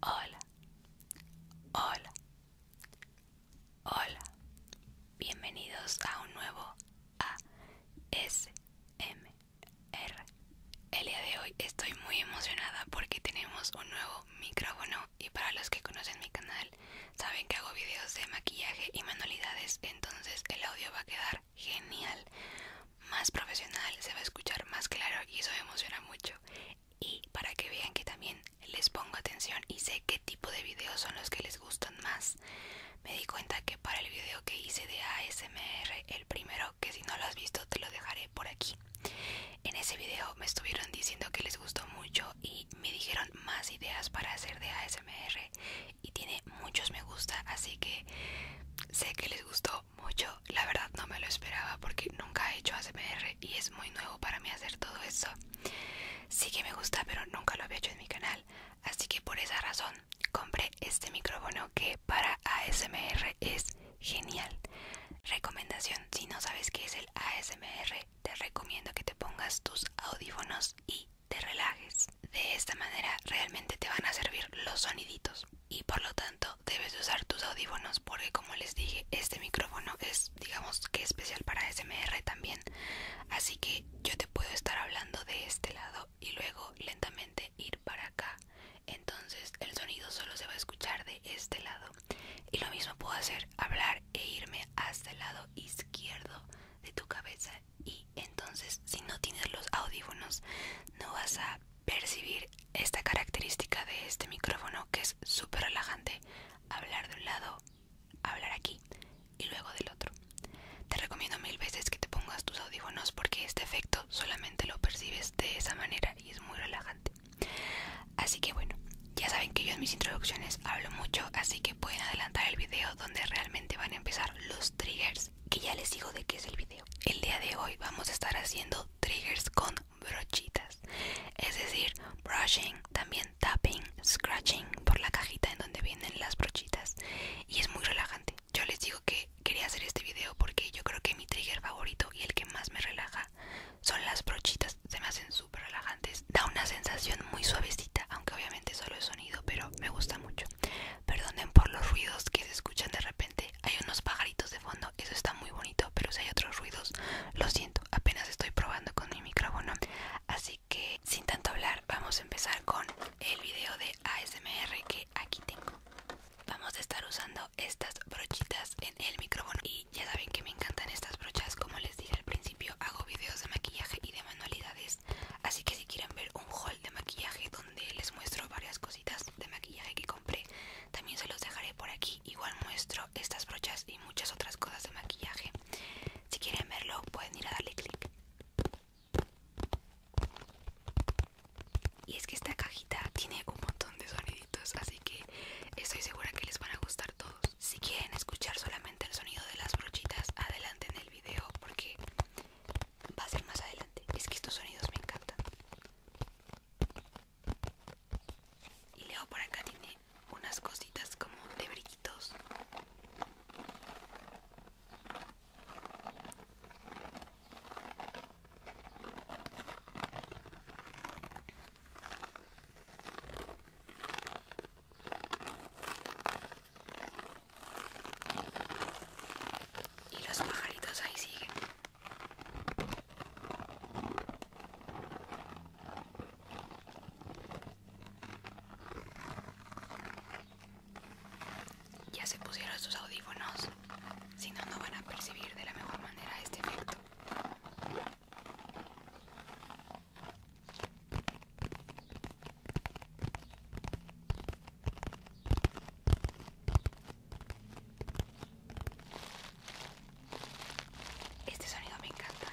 Hola, hola, hola, bienvenidos a un nuevo ASMR. El día de hoy estoy muy emocionada porque tenemos un nuevo micrófono y para los que conocen mi canal Saben que hago videos de maquillaje y manualidades, entonces el audio va a quedar genial, más profesional, se va a escuchar más claro y eso me emociona mucho. Y para que vean que también les pongo atención y sé qué tipo de videos son los que les gustan más. Me di cuenta que para el video que hice de ASMR, el primero, que si no lo has visto te lo dejaré por aquí. En ese video me estuvieron diciendo que les gustó mucho y me dijeron más ideas para hacer de ASMR y tiene muchos me gusta así que sé que les gustó mucho la verdad no me lo esperaba porque nunca he hecho ASMR y es muy nuevo para mí hacer todo eso sí que me gusta pero nunca lo había hecho en mi canal así que por esa razón compré este micrófono que para ASMR es genial recomendación si no sabes qué es el ASMR te recomiendo que te pongas tus audífonos y te relajes. De esta manera realmente te van a servir los soniditos y por lo tanto debes usar tus audífonos porque como les dije este micrófono es digamos que especial para SMR también así que yo te puedo estar hablando de este lado y luego lentamente ir para acá entonces el sonido solo se va a escuchar de este lado y lo mismo puedo hacer hablar e irme hasta el lado izquierdo de tu cabeza y entonces si no tienes los audífonos no vas a percibir esta característica de este micrófono que es súper relajante hablar de un lado hablar aquí y luego del otro te recomiendo mil veces que te pongas tus audífonos porque este efecto solamente lo percibes de esa manera y es muy relajante así que bueno ya saben que yo en mis introducciones hablo mucho, así que pueden adelantar el video donde realmente van a empezar los triggers, que ya les digo de qué es el video. El día de hoy vamos a estar haciendo triggers con brochitas, es decir, brushing, también tapping, scratching por la cajita en donde vienen las brochitas y es muy relajante. Yo les digo que quería hacer este video porque yo creo que mi trigger favorito y el que más me relaja son las brochitas, se me hacen relajantes da una sensación muy suavecita aunque obviamente solo es sonido pero me gusta mucho perdonen por los ruidos que se escuchan de repente hay unos pajaritos de fondo eso está muy bonito pero si hay otros ruidos lo siento apenas estoy probando con mi micrófono así que sin tanto hablar vamos a empezar con el video de ASMR que aquí tengo vamos a estar usando estas brochitas en el micrófono y ya saben que me encantan estas brochas como les dije al principio hago videos de maquillaje y de manualidades, así que si quieren ver un haul de maquillaje donde les muestro varias cositas de maquillaje que compré, también se los dejaré por aquí. Igual muestro estas brochas y muchas otras cosas de maquillaje. Si quieren verlo, pueden ir a darle clic. Y es que esta cajita tiene un montón de soniditos, así que estoy segura que les van a gustar todos si quieren escuchar solamente el sonido de las brochitas adelante en el video porque va a ser más adelante es que estos sonidos me encantan y luego por acá tiene unas cositas como de brillitos y los pajaritos ahí siguen. Ya se pusieron sus audífonos, si no, no van a percibir de la mejor manera este efecto. Este sonido me encanta.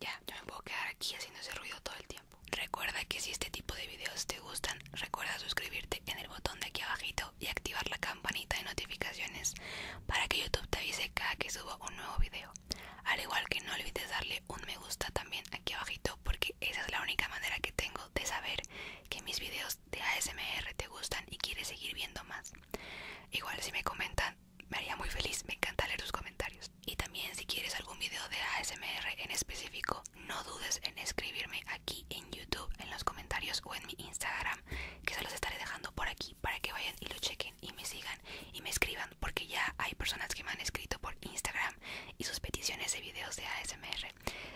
Ya, yo me puedo quedar aquí haciendo ese ruido todo el tiempo. Recuerda que si este tipo de videos te gustan, recuerda suscribirte en el botón de aquí abajito y activar la campanita de notificaciones para que YouTube te avise cada que suba un nuevo video. Al igual que no olvides darle un me gusta también aquí abajito porque esa es la única manera que tengo de saber que mis videos de ASMR te gustan y quieres seguir viendo más. Igual si me comentan me haría muy feliz, me encanta leer tus comentarios. Y también si quieres algún video de ASMR en específico, no dudes en escribirme aquí en YouTube, en los comentarios o en mi Instagram, que se los estaré dejando por aquí para que vayan y lo chequen y me sigan y me escriban, porque ya hay personas que me han escrito por Instagram y sus peticiones de videos de ASMR.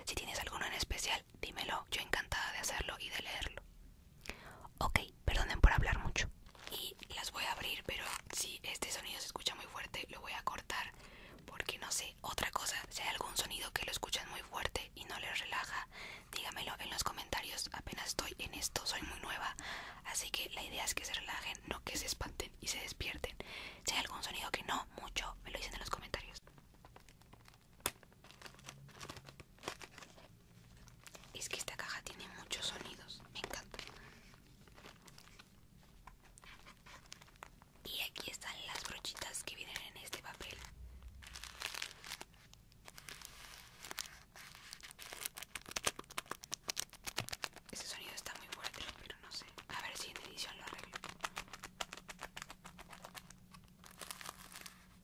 Si tienes alguno en especial, dímelo, yo encantada de hacerlo y de leerlo. Ok, perdonen por hablar mucho. Y las voy a abrir, pero si este sonido se escucha muy fuerte, lo voy a cortar. Porque no sé, otra cosa, si hay algún sonido que lo escuchan muy fuerte y no les relaja, dígamelo en los comentarios. Apenas estoy en esto, soy muy nueva. Así que la idea es que se relajen, no que se espanten y se despierten. Si hay algún sonido que no, mucho, me lo dicen en los comentarios. Es que esta caja tiene muchos sonidos, me encanta. Y aquí están las brochitas que vienen en este papel. Ese sonido está muy fuerte, pero no sé. A ver si en edición lo arreglo.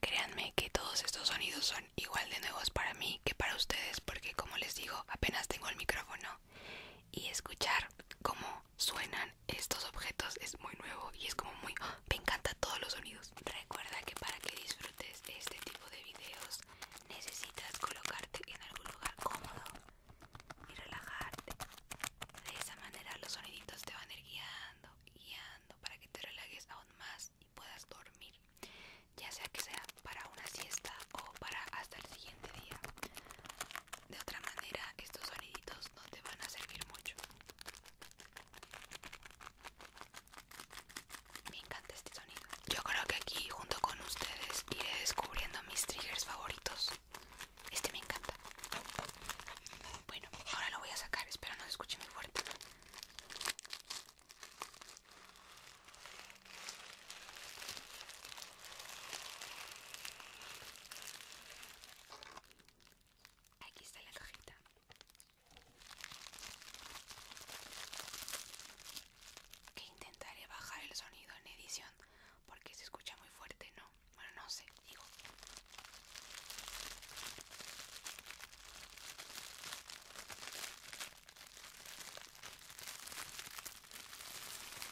Créanme que todos estos sonidos son igual de nuevos para mí que para ustedes porque como les digo apenas tengo el micrófono y escuchar cómo suenan estos objetos es muy nuevo y es como muy me encanta todos los sonidos recuerda que para que disfrutes de este tipo de videos necesitas colocarte en algún lugar cómodo y relajarte de esa manera los soniditos te van a ir guiando guiando para que te relajes aún más y puedas dormir ya sea que sea para una siesta o para hasta el siguiente día de otra manera, estos soniditos no te van a servir mucho. Me encanta este sonido. Yo creo que aquí, junto con ustedes, iré descubriendo mis triggers favoritos. Este me encanta. Bueno, ahora lo voy a sacar. Espero no se escuche muy fuerte. Aquí está la cajita. Que intentaré bajar el sonido en edición porque se escucha muy fuerte, ¿no? Bueno, no sé, digo.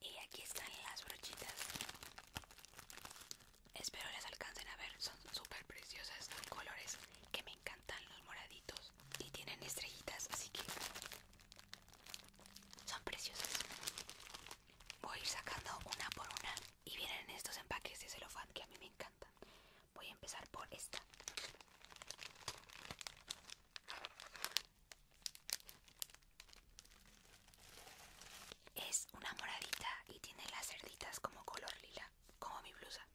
Y aquí están las brochitas. Espero les alcancen a ver, son súper preciosas, colores que me encantan, los moraditos. Y tienen estrellitas, así que son preciosas. Voy a ir sacando una por una. Y vienen estos empaques de celofán que a mí me encantan. Voy a empezar por esta. Es una moradita y tiene las cerditas como color lila, como mi blusa.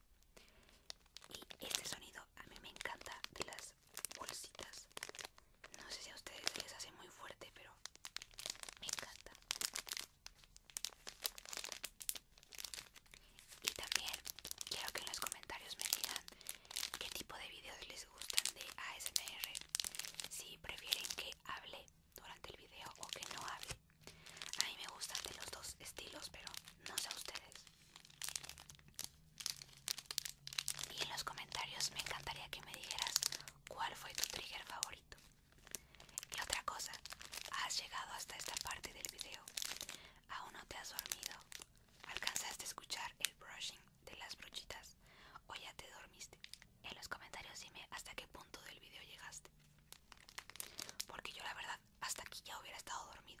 Y este sonido a mí me encanta de las bolsitas. No sé si a ustedes les hace muy fuerte, pero me encanta. Y también quiero que en los comentarios me digan qué tipo de videos les gustan de ASMR. Si prefieren que hable durante el video o que no hable. A mí me gustan de los dos estilos, pero no sé ustedes. Y en los comentarios me encantaría que me dijeras cuál fue tu trigger favorito. Y otra cosa, has llegado hasta esta parte del video. ¿Aún no te has dormido? ¿Alcanzaste a escuchar el brushing de las brochitas? ¿O ya te dormiste? En los comentarios dime hasta qué punto del video llegaste. Porque yo la verdad hasta aquí ya hubiera estado dormida.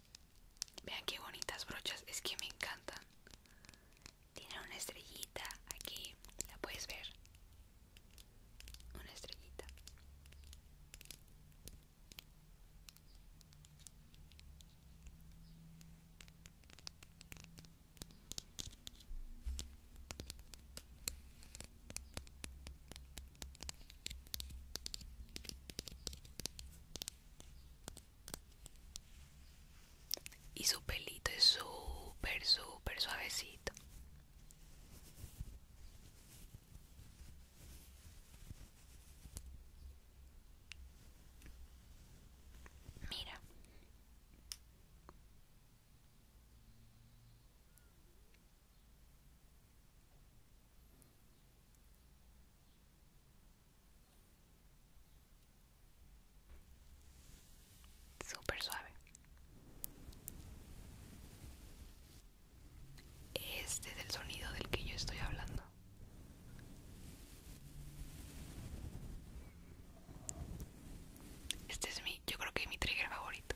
Vean qué bonitas brochas, es que me encantan. Tiene una estrellita aquí, la puedes ver. Una estrellita. Y su pelito es súper, súper suavecito. Mira. Súper suave. Este es el sonido del que yo estoy hablando. Este es mi, yo creo que mi trigger favorito.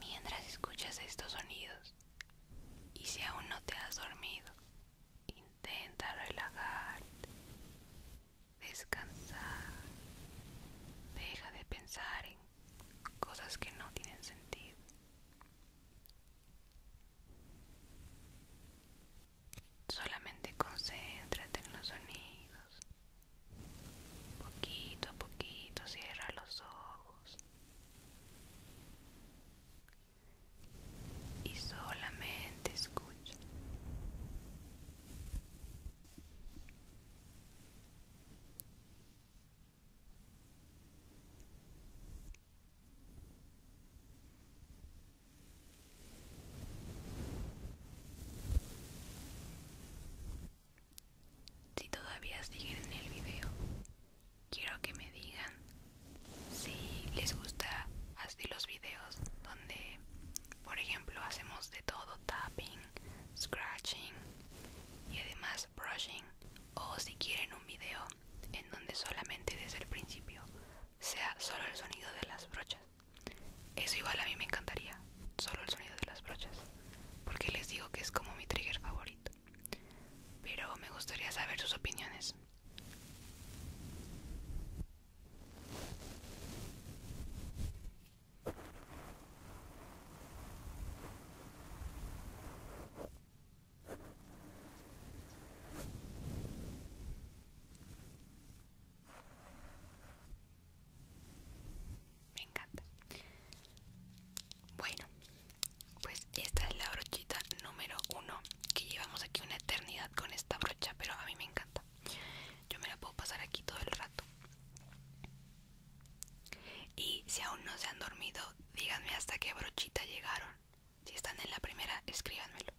Mientras escuchas estos sonidos y si aún no te has dormido, intenta relajarte, descansar, deja de pensar en cosas que no tienen sentido. Solamente concéntrate en los sonidos Poquito a poquito cierra los ojos. Y solamente escucha. Si todavía siguen el video, quiero que me digan si les gusta así los videos donde, por ejemplo, hacemos de todo tapping, scratching y además brushing o si quieren un video en donde solamente desde el principio sea solo el sonido de las brochas. Eso igual a mí me encantaría, solo el sonido de las brochas, porque les digo que es como mi trigger favorito. Pero me gustaría saber sus opiniones. Me encanta. Bueno, pues esta es la brochita número uno. Que llevamos aquí una eternidad con esta brocha, pero a mí me encanta. Yo me la puedo pasar aquí todo el rato. Y si aún no se han dormido, díganme hasta qué brochita llegaron. Si están en la primera, escríbanmelo.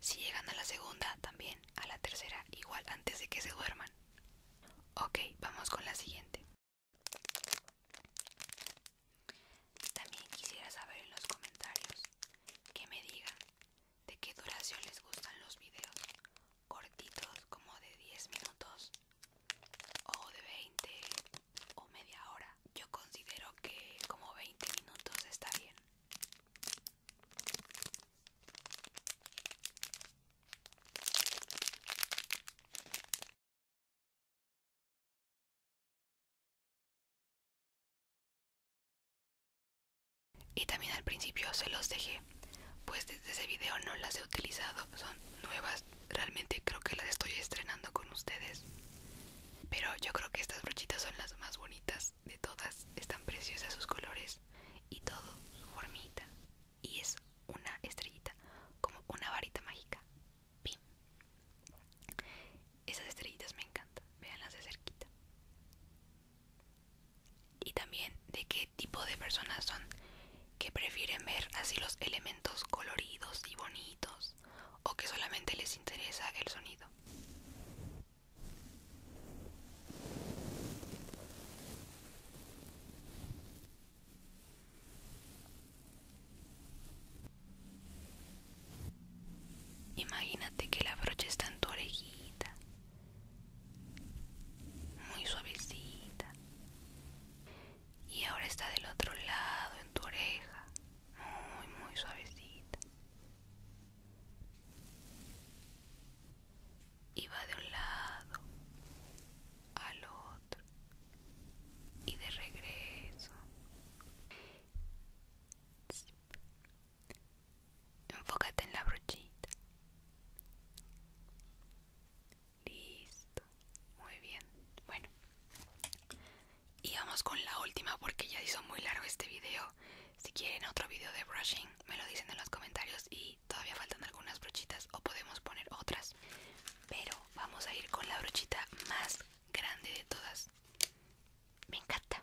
Si llegan a la segunda, también a la tercera igual antes de que se duerman. Ok, vamos con la siguiente. También quisiera saber en los comentarios que me digan de qué duración les gustan los videos. Cortitos como de 10 minutos o de 20 o media hora. Yo considero que como 20 minutos está bien. Y también al principio se los dejé, pues desde ese video no las he utilizado, son nuevas, realmente creo que las estoy estrenando con ustedes. Pero yo creo que estas brochitas son las más bonitas de todas, están preciosas sus colores y todo, su formita. Y es una estrellita, como una varita mágica. Esas estrellitas me encantan, veanlas de cerquita. Y también de qué tipo de personas son que prefieren ver así los elementos coloridos y bonitos o que solamente les interesa el sonido. Imagínate que la brocha está en tu orejita, muy suavecita, y ahora está del otro lado en tu oreja, muy, muy suavecita y va de un lado al otro y de regreso. Enfócate en la brochita. Listo. Muy bien. Bueno. Y vamos con la última porque ya hizo muy largo este video. Si quieren otro video de brushing, me lo dicen en los comentarios y todavía faltan algunas brochitas o podemos poner otras. Pero vamos a ir con la brochita más grande de todas. Me encanta.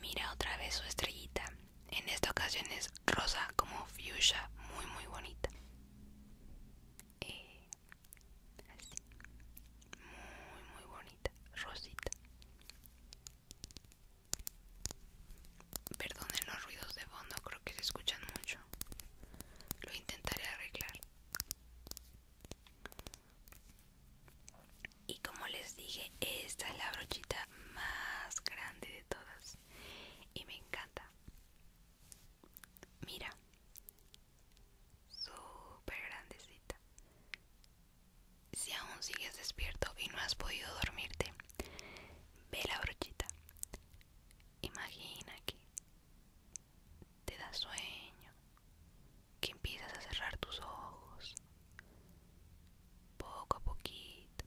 Mira otra vez su estrellita. En esta ocasión es rosa como fuchsia, muy muy bonita. Eh, muy muy bonita, rosita. Perdonen los ruidos de fondo, creo que se escuchan mucho. Lo intentaré arreglar y como les dije esta es la brochita más grande de todas y me encanta mira súper grandecita si aún sigues despierto y no has podido dormirte ve la brochita imagina que te da sueño, que empiezas a cerrar tus ojos, poco a poquito,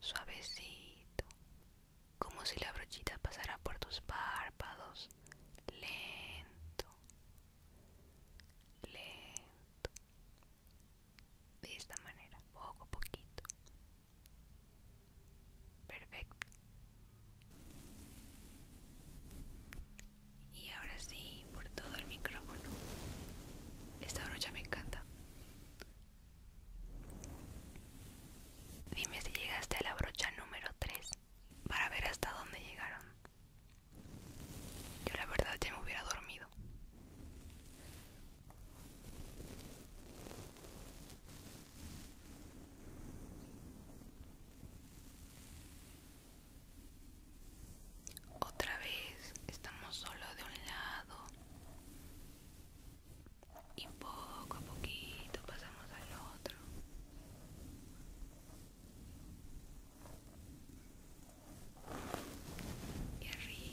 suavecito, como si la brochita pasara por tus párpados, lento, lento, de esta manera, poco a poquito perfecto y ahora sí por todo el micrófono esta brocha me encanta dime si llegaste a la brocha número 3 para ver hasta dónde llegaron yo la verdad ya me hubiera dormido otra vez estamos solo de un lado y poco a poquito pasamos al otro. Y arriba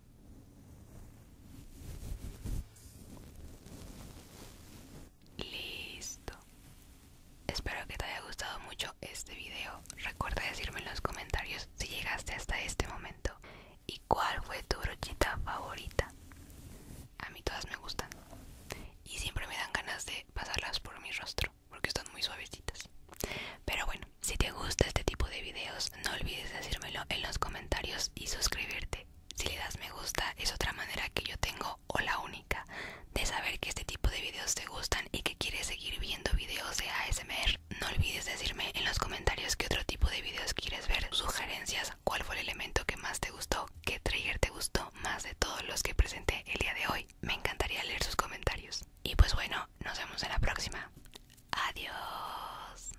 Listo. Espero que te haya gustado mucho este video. Recuerda decirme en los comentarios si llegaste hasta este momento y cuál fue tu brochita favorita. A mí todas me gustan y siempre me dan ganas de pasarlas por mi rostro porque están muy suavecitas. Pero bueno, si te gusta este tipo de videos, no olvides decírmelo en los comentarios y suscribirte. Si le das me gusta es otra manera que yo tengo o la única de saber que este tipo de videos te gustan y que quieres seguir viendo videos de ASMR. No olvides decirme en los comentarios qué otro tipo de videos quieres ver, sugerencias, cuál fue el elemento que más te gustó, qué trigger te gustó más de todos los que presenté el día de hoy. Me encantaría leer sus comentarios. Y pues bueno, nos vemos en la próxima. Adiós.